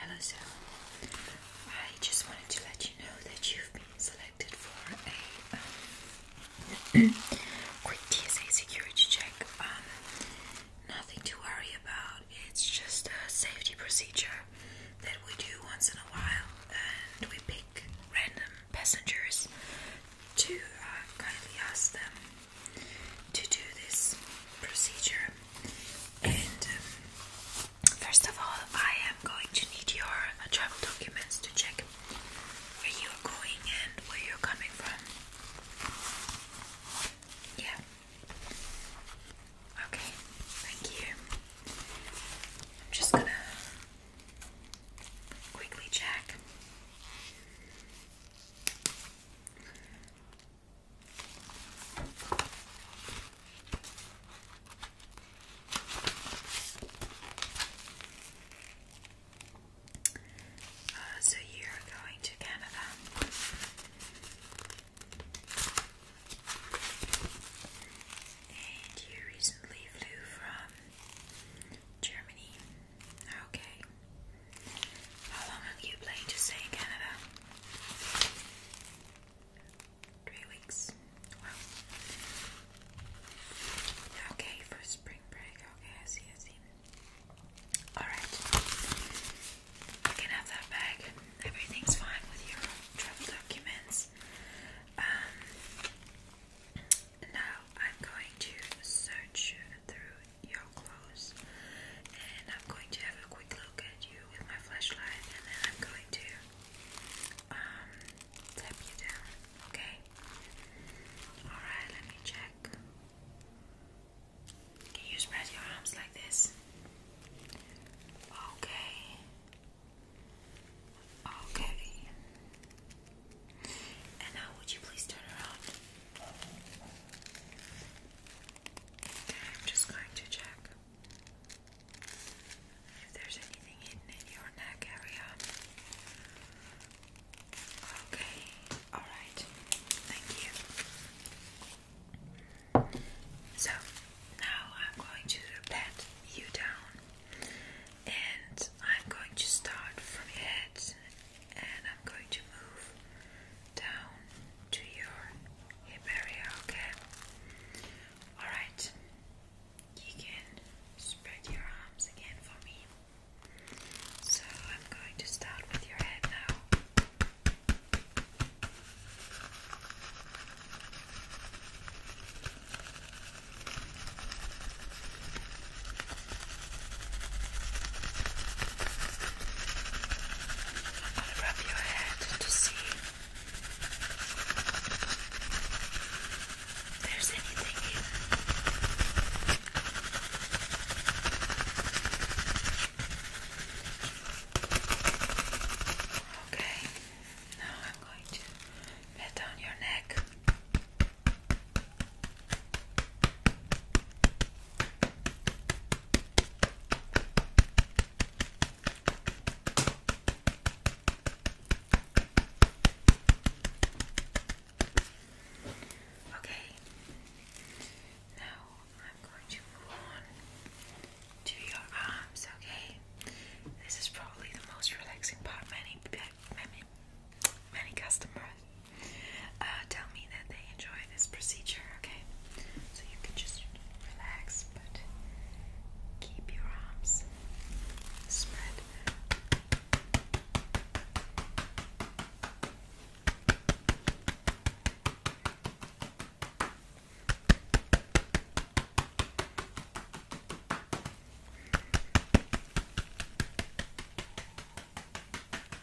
Hello, Zoe. I just wanted to let you know that you've been selected for a um, quick TSA security check. Um, nothing to worry about. It's just a safety procedure that we do once in a while, and we pick random passengers to uh, kindly ask them to do this procedure. And um, first of all, I am going to need your uh, travel documents to check where you are going and where you're coming from. Yeah. Okay, thank you. I'm just gonna quickly check. Uh, so you're going to Canada. And you recently flew from Germany. Okay. How long have you planned to stay in Canada? Three weeks. Okay, for spring break. Okay, I see, I see. Alright. You can have that bag. Everything's fine with your travel documents. Um, now I'm going to search through you're close, And I'm going to have a quick look at you with my flashlight, and then I'm going to um, tap you down. Okay? Alright, let me check. Can you spread your arms like this? Okay. Okay. And now, would you please turn around? I'm just going to check if there's anything hidden in your neck area. Okay, alright, thank you. So now I'm going to pat you down and I'm going to start from your head and I'm going to move down to your hip area, okay? Alright, you can spread your arms again for me. So I'm going to start with your head now. I'm rub your head to see if there's anything Okay, now I'm going to pat down your neck. Okay, now I'm going to move on to your arms, okay? This is probably the most relaxing part many many, many customers uh, tell me that they enjoy this procedure, okay? So you can just relax, but keep your arms spread.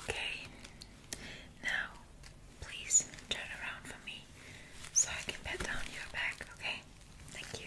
Okay, now please turn around for me so I can pat down your back, okay? Thank you.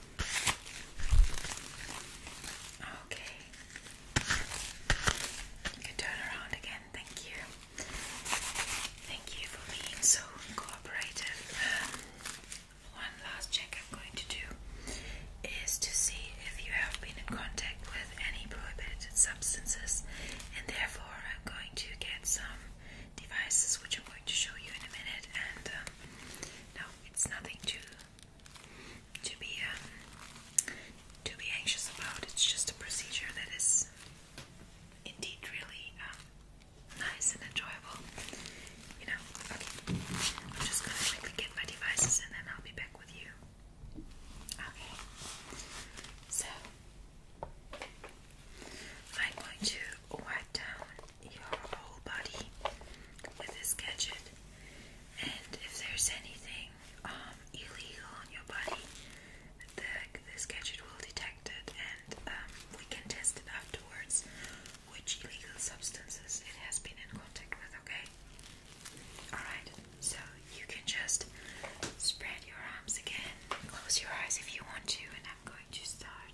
Okay. You can turn around again. Thank you. Thank you for being so cooperative. Um, one last check I'm going to do is to see if you have been in contact with any prohibited substances, and therefore I'm going to get some devices which I'm going to show you in a minute. And um, it's nothing too to be um, to be anxious about. It's just a procedure that is indeed really um, nice and enjoyable. You know. I'm just gonna quickly get my devices and then I'll be back with you. Okay. So I'm going to wipe down your whole body with this gadget. And if there's anything um, illegal on your body, the, this gadget will detect it and um, we can test it afterwards which illegal substances it has been in contact with, okay? Alright, so you can just spread your arms again, close your eyes if you want to, and I'm going to start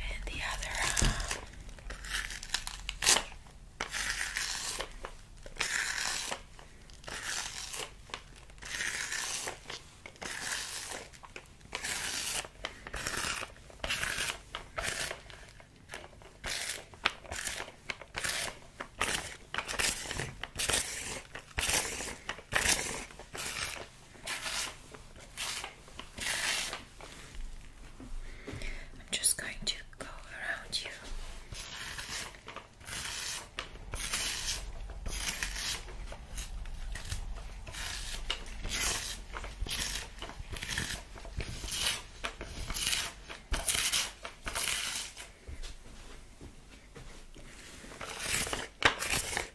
and the other uh, I'm just going to go around you.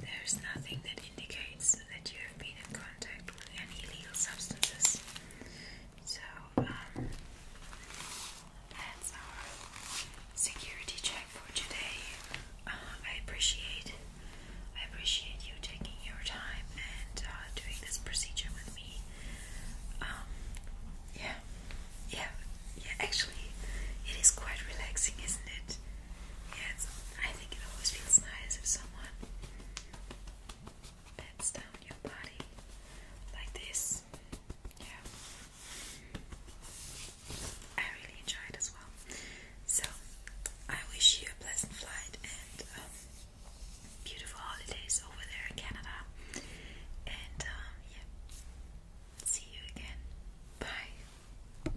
There's nothing that indicates that you have been in contact with any illegal substances. So, um, that's our security check for today. Uh, I appreciate, I appreciate you taking your time and uh, doing this procedure with me. Um, yeah, yeah, yeah. Actually, it is quite relaxing, isn't it? Yeah, I think it always feels nice if someone bends down your body like this. Yeah. I really enjoy it as well. So, I wish you a pleasant flight and um, beautiful holidays over there in Canada. And, um, yeah, see you again. Bye.